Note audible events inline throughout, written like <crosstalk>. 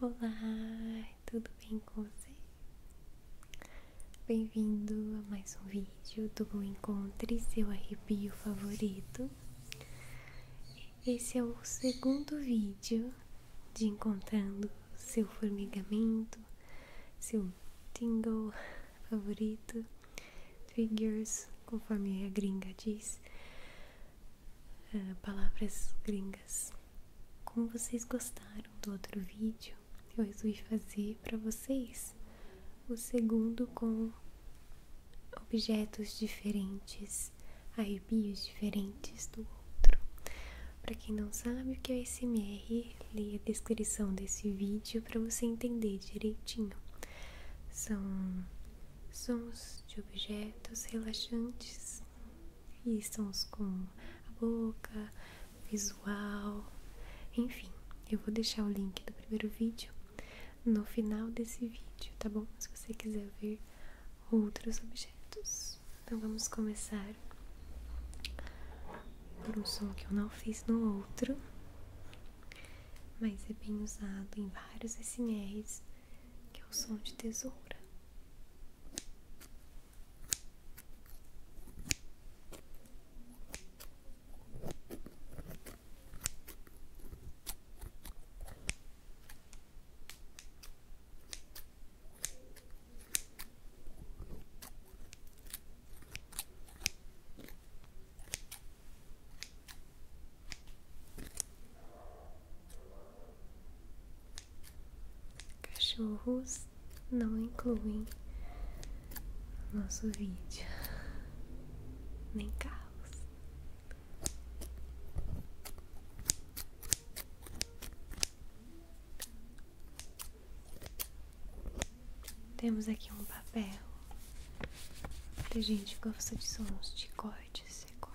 Olá, tudo bem com você? Bem-vindo a mais um vídeo do Encontre Seu Arrepio Favorito. Esse é o segundo vídeo de encontrando seu formigamento, seu tingle favorito, figures conforme a gringa diz, ah, palavras gringas. Como vocês gostaram do outro vídeo, eu resolvi fazer para vocês o segundo com objetos diferentes, arrepios diferentes do outro. Para quem não sabe o que é SMR, leia a descrição desse vídeo para você entender direitinho. São sons de objetos relaxantes e sons com a boca, visual, enfim. Eu vou deixar o link do primeiro vídeo no final desse vídeo, tá bom? Se você quiser ver outros objetos. Então vamos começar por um som que eu não fiz no outro, mas é bem usado em vários SMRs, que é o som de tesoura. Cachorros não incluem nosso vídeo, nem carros. Temos aqui um papel que a gente gosta de sons de cortes e cortes.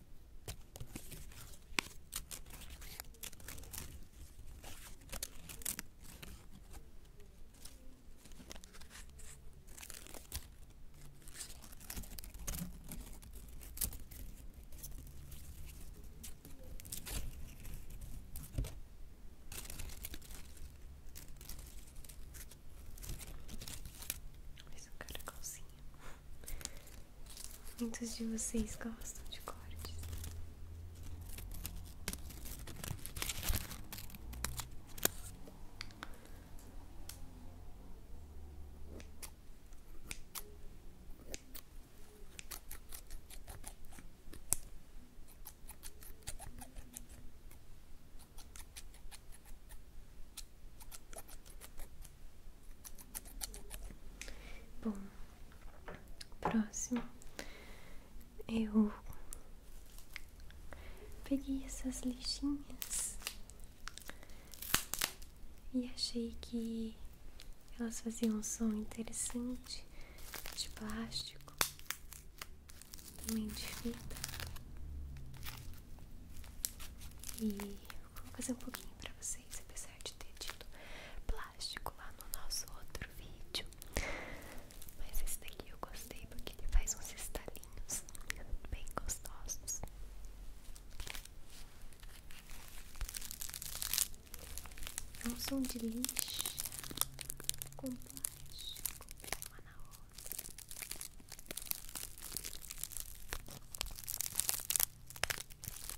Mas eu quero igualzinho Muitos de vocês gostam de cortes. Bom, próximo eu peguei essas lixinhas e achei que elas faziam um som interessante de plástico, também de fita. E Vou fazer um pouquinho pra vocês, apesar de ter tido plástico lá no nosso outro vídeo. Mas esse daqui eu gostei porque ele faz uns estalinhos bem gostosos. É um som de lixa com plástico uma na outra.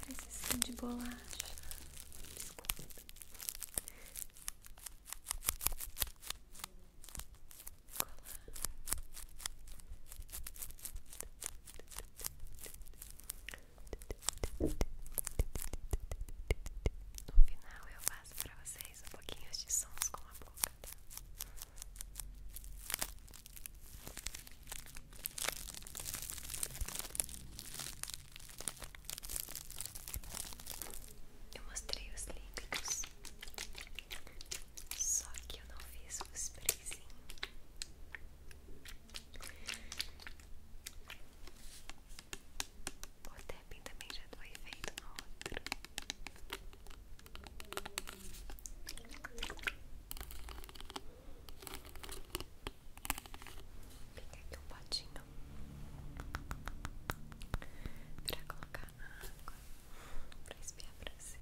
Parece assim de bolacha, biscoito. No final eu faço para vocês um pouquinho de sons com a boca. Tá? Eu mostrei os líquidos, só que eu não fiz os sprayzinho. O tapping também já foi feito no outro peguei aqui um potinho pra colocar água pra espiar pra vocês.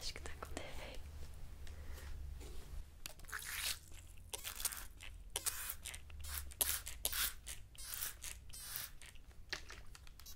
Acho que tá com defeito.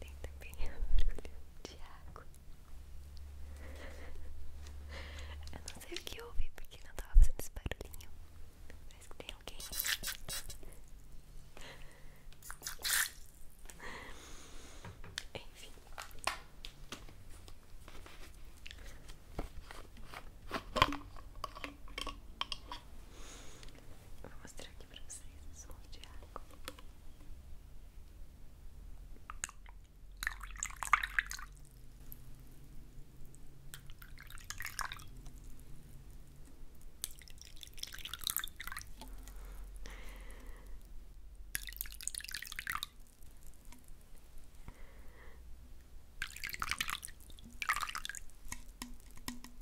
Tem também um <laughs> mergulho de água. Eu não sei o que houve porque não estava fazendo esse barulhinho. Mas que tem alguém. Enfim. Vou mostrar aqui pra vocês o som de água. Agora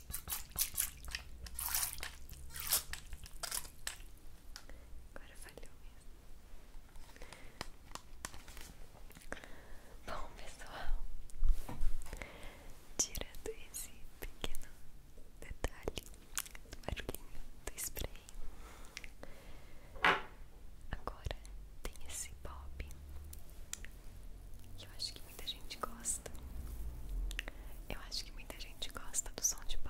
Agora falhou mesmo. Bom, pessoal, tirando esse pequeno detalhe do barulhinho do spray, agora tem esse pop que eu acho que muita gente gosta. Eu acho que muita gente gosta do som de Bob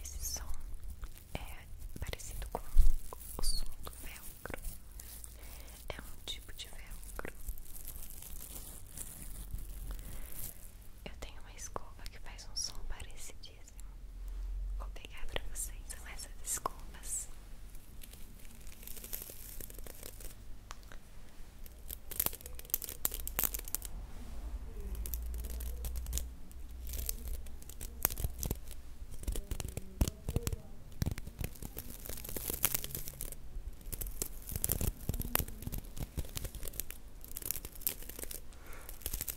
Esse som é parecido com o som do velcro. É um tipo de velcro. Eu tenho uma escova que faz um som parecido certíssimo. Vou pegar pra vocês são então, essas desculpas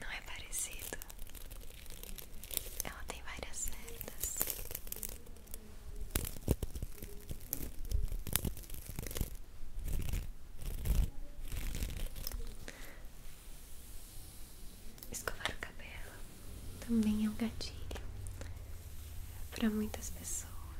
Não é parecido? Ela tem várias cerdas. Escovar o cabelo também é um gatinho para muitas pessoas.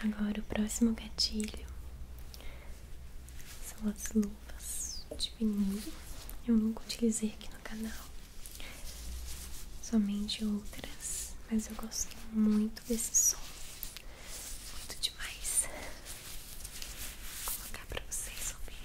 Agora o próximo gatilho são as luvas de vinil. Eu nunca utilizei aqui no canal, somente outras, mas eu gosto muito desse som, muito demais. Vou colocar para vocês ouvirem.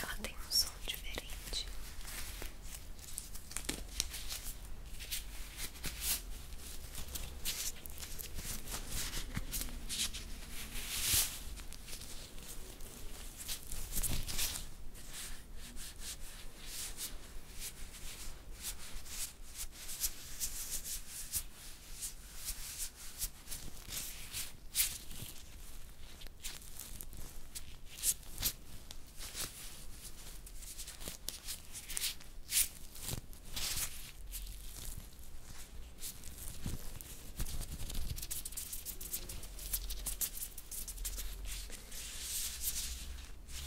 Ela tem um som diferente.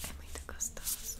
É muito gostoso.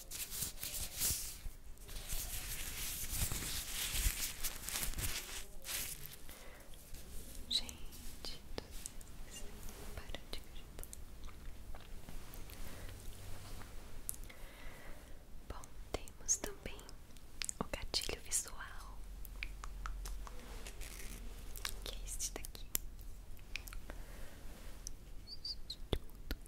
Gente para de Bom, temos também o gatilho visual, que é este daqui.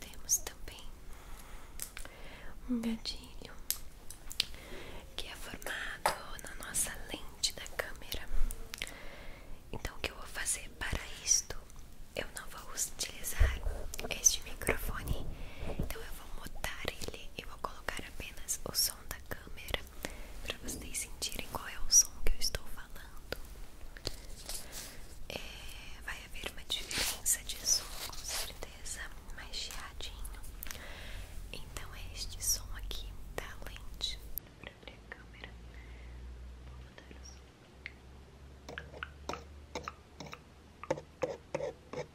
Temos também um gatilho que é formado na nossa lente da câmera. Então, o que eu vou fazer para isto? Eu não vou utilizar este microfone, então eu vou mudar ele e vou colocar apenas o som da câmera para vocês sentirem qual é o som que eu estou falando. É, vai haver uma diferença de som, com certeza, mais chiadinho. Então é este som aqui da lente para abrir a câmera. Vou mudar o som.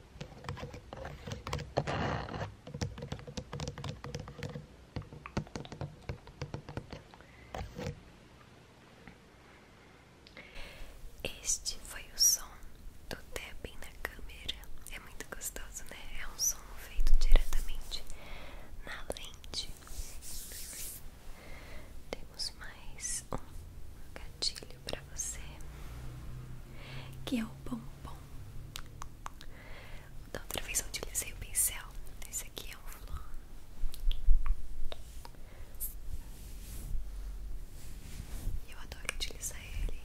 Este foi o som do tapping na câmera. É muito gostoso, né? É um som feito diretamente na lente. Temos mais um gatilho conselho você, que é o pompom. Da outra vez eu utilizei o pincel, esse aqui é um flor. Eu adoro utilizar ele,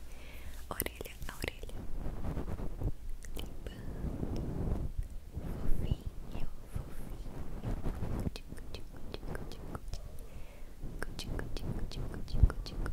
orelha a orelha, limpando, fofinho, fofinho, tico, tico, tico, tico, tico, tico, tico, tico, tico,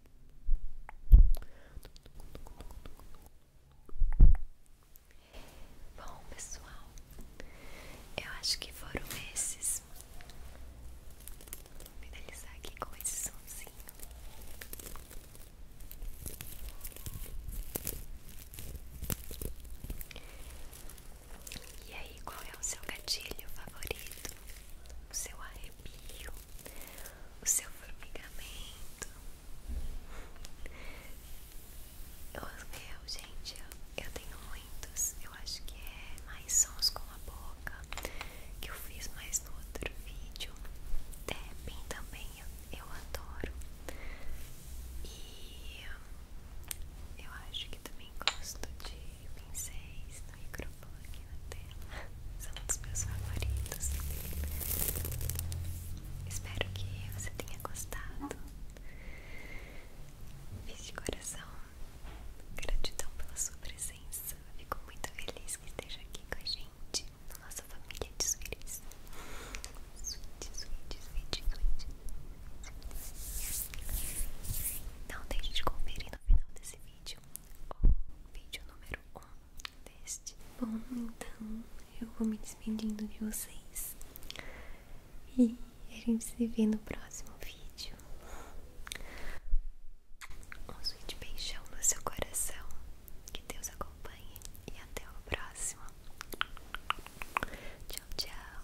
Bom, pessoal, eu acho que foram esses. Vou finalizar aqui com esse somzinho. E aí, qual é o seu gatilho favorito? O seu arrepio? o seu formigamento. Eu, eu gente, eu, tenho muitos. Eu acho que é mais sons com a boca que eu fiz mais no outro vídeo. Tapping também eu, eu adoro. E eu acho que também gosto de pincéis no microfone aqui na tela são um dos meus favoritos espero que você tenha gostado fiz de coração gratidão pela sua presença fico muito feliz que esteja aqui com a gente na nossa família de suíris suíte, suíte, suíte, suíte não deixe de conferir no final desse vídeo o vídeo número 1 Bom, então eu vou me despedindo de vocês. E a gente se vê no próximo vídeo. Um sweet beijão no seu coração. Que Deus acompanhe. E até o próximo. Tchau, tchau.